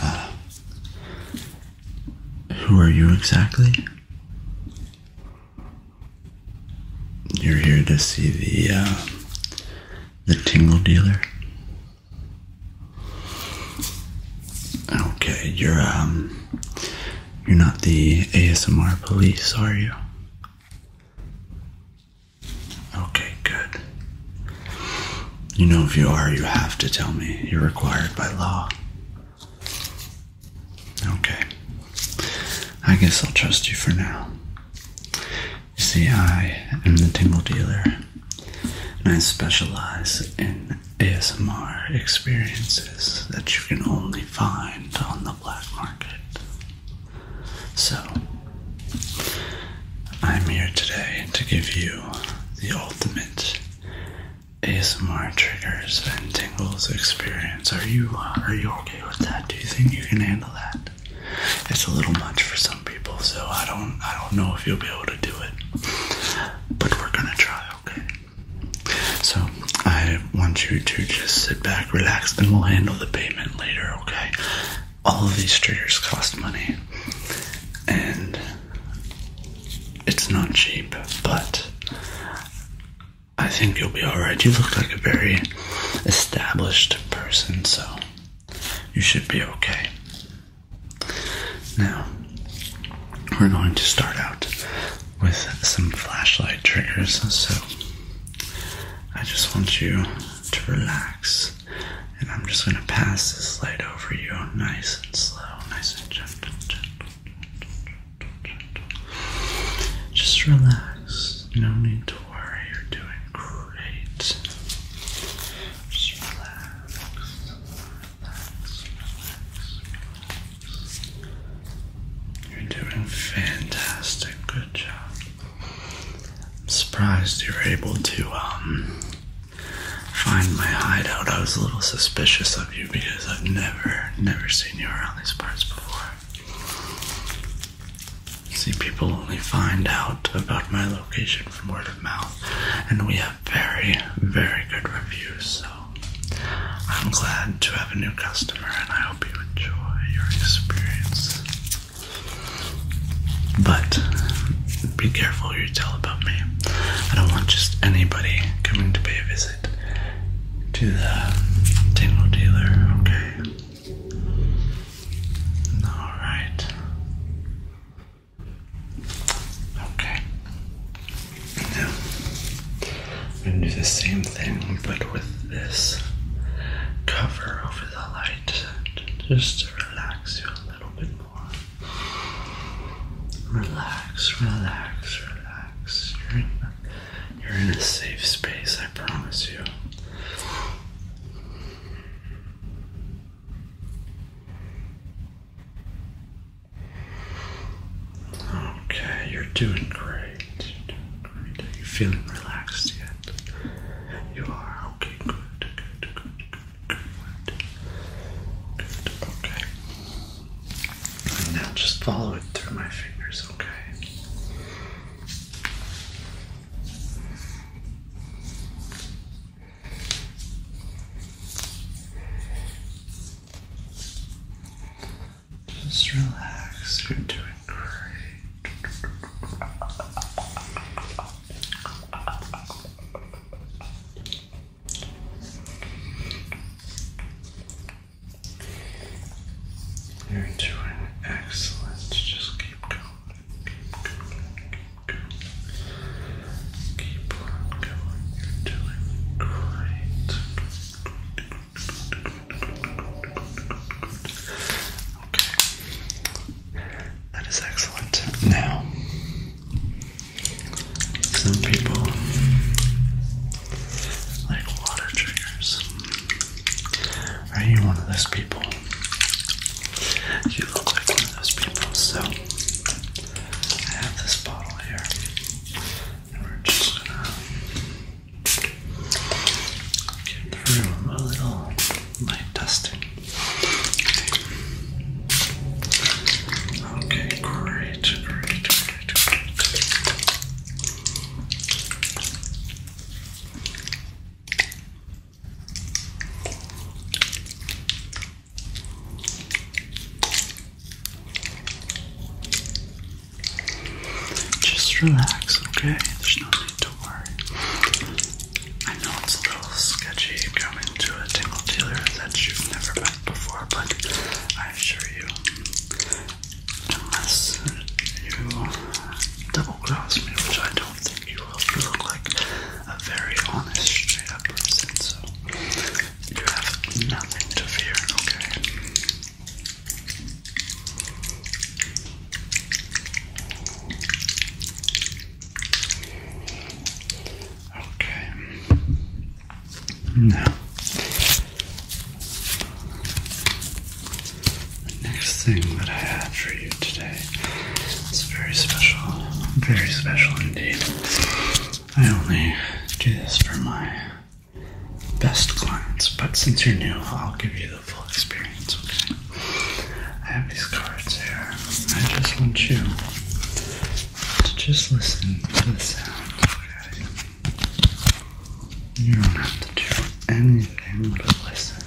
Uh, who are you exactly? You're here to see the uh, the tingle dealer. Okay, you're um, you're not the ASMR police, are you? Okay, good. You know, if you are, you have to tell me. You're required by law. Okay. I guess I'll trust you for now. You see, I am the Tingle Dealer, and I specialize in ASMR experiences that you can only find on the black market. So, I'm here today to give you the ultimate ASMR triggers and tingles experience. Are you uh, are you okay with that? Do you think you can handle that? It's a little much for some people, so I don't I don't know if you'll be able to do it. But we're gonna try, okay? So I want you to just sit back, relax, and we'll handle the payment later, okay? all of these triggers cost money, and it's not cheap, but I think you'll be alright. You look like a very established person, so you should be okay. Now, we're going to start out with some flashlight triggers, so I just want you to relax. And I'm just going to pass this light over you nice and slow, nice and gentle, gentle. Just relax. No need to worry. You're doing great. Just relax. Relax, relax, relax. You're doing fantastic. Good job. I'm surprised you were able to um, find my hideout. I was a little suspicious of you because I've never, never seen you around these parts before. See, people only find out about my location from word of mouth, and we have very, very good reviews, so I'm glad to have a new customer, and I hope you enjoy your experience. But be careful what you tell about me. I don't want just anybody coming to pay a visit to the tingle dealer, okay? Alright. Okay. Now, I'm going to do the same thing but with this cover over the light. Just relax you a little bit more. Relax, relax, relax. You're in, a, safe space, I promise you. Okay, you're doing great. You're you feeling relaxed yet? You are okay. Good. Good. Good. Good. Good. Good. Okay. now just follow it through my fingers. Okay. Just relax, you're doing great. You're doing excellent. Just keep going. Keep going. Keep going. Keep going. You're doing great. That is excellent. Now, some people like water triggers. Are you one of those people? You look like one of those people, so I have this bottle here. And we're just gonna give the a little light dusting. Okay, great, great, great, great. Just relax, okay? There's no need to worry. I know it's a little sketchy coming to a tingle dealer that you've never met before, but I assure you, unless you double cross me, which I don't think you will, you look like a very honest, straight up person, so you have nothing to fear, okay? Okay. Now, the next thing that I have for you today is very special, very special indeed. I only do this for my best clients, but since you're new, I'll give you the experience, okay? I have these cards here. I just want you to just listen to the sound, You don't have to do anything but listen.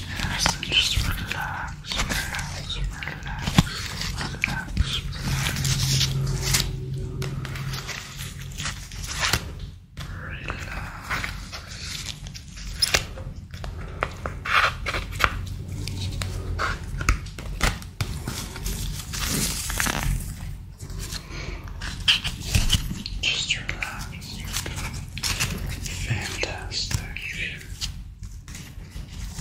Yes, just relax, relax, relax, relax. Relax. Just relax. Fantastic.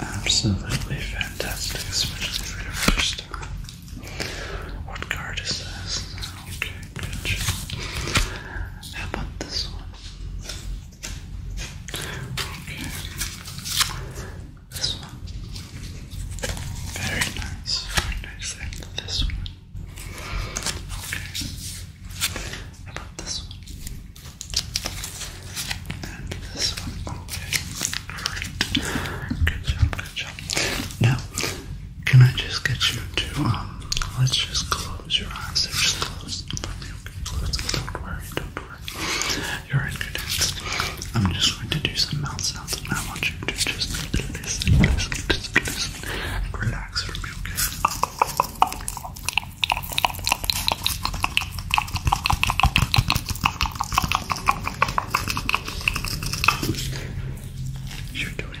Absolutely fantastic, especially for the first time. What card is this? Okay, good. How about this one? Okay. This one. Very nice. Very nice. this one. Okay. How about this one? And this one. Okay. Good job, now, can I just get you to, um, let's just close your eyes. They're just closed. close Don't worry, don't worry. You're in good hands. I'm just going to do some mouth sounds, and I want you to just listen, listen, listen, listen, relax for me, okay? You're doing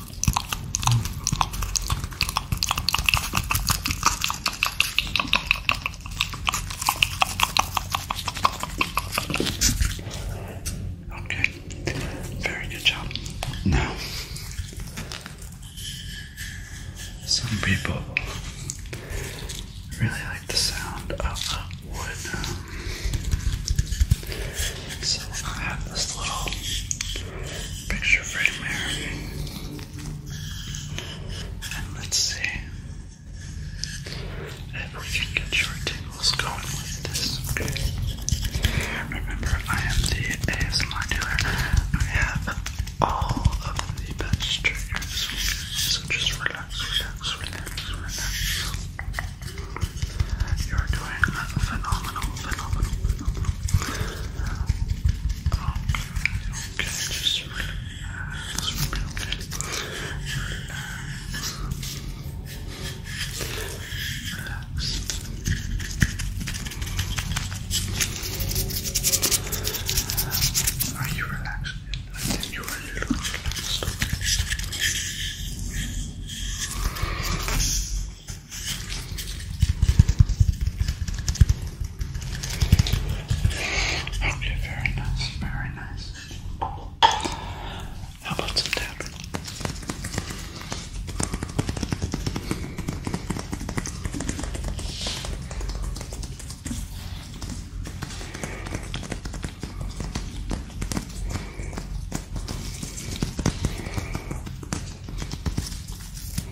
Okay, very good job. Now, some people really like the sound of wood. Um, so I have this little Picture frame here. And let's see if we can get your tingles going with this, Remember, I am the ASMR dealer. I have all of the best triggers, so just relax, relax, relax, You're doing phenomenal, phenomenal. Okay, just relax, relax, relax. Are you relaxed? I think you are a little relaxed. Okay. Okay, very nice, very nice. How about some tap? Okay,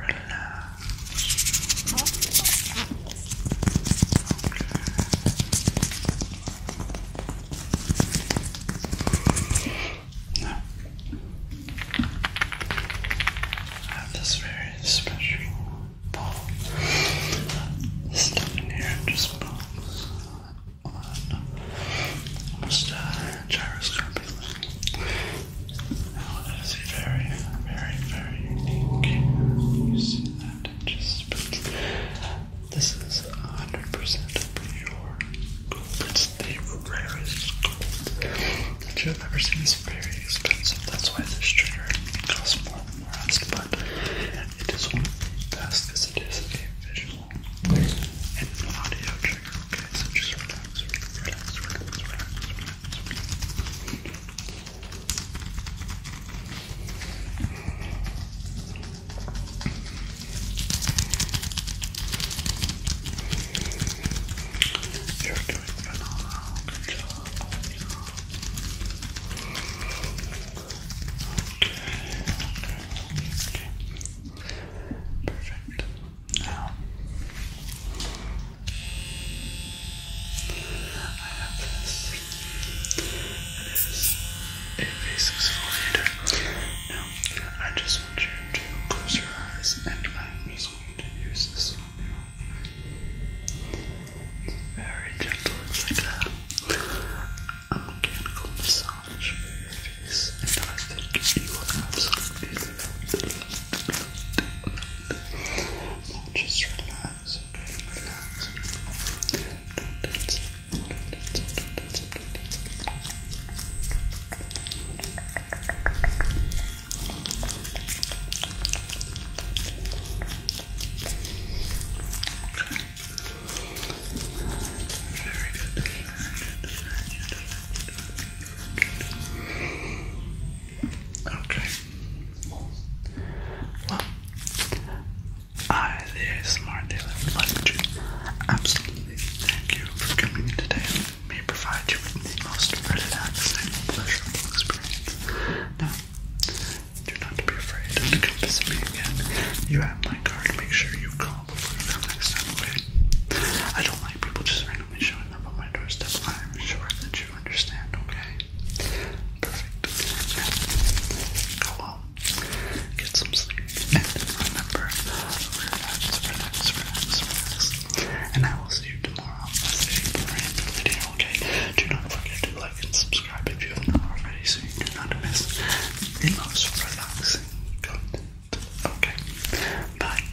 I have this very special ball. This down here just moves on a gyroscope now that is very, very, very unique. You see that? Just this is 100% pure It's the rarest that you have ever seen. It's very expensive. That's why this trigger costs more than the rest. But it is one best because it is a visual and audio trigger. Okay, so just relax, relax, relax. You're doing phenomenal. Good job. Okay, okay, okay. Perfect. Now, I have this. It is Now, I just want you to close your eyes, and I'm just going to use this one. It's very gentle, it's like a, a massage for your face, and I think you will give you an absolute it, now just relax, relax. Don't dance, don't dance, don't dance, don't dance. Okay. Very good. Very good. Very good. Very good. Okay. Well, I, the smart daily would like to absolutely thank you for coming today. It may provide you with the most relaxing and pleasurable experience. Now, do not be afraid to come visit me again. You have my card. Make sure you call before you come next time, okay? I don't like people just randomly showing up on my doorstep, I'm sure that you understand, okay? Perfect. Go home, get some sleep, remember, relax, relax, relax, relax. And I will see you tomorrow with a new video, okay? Do not forget to like and subscribe if you have not already so you do not miss the most relaxing content. Okay, bye.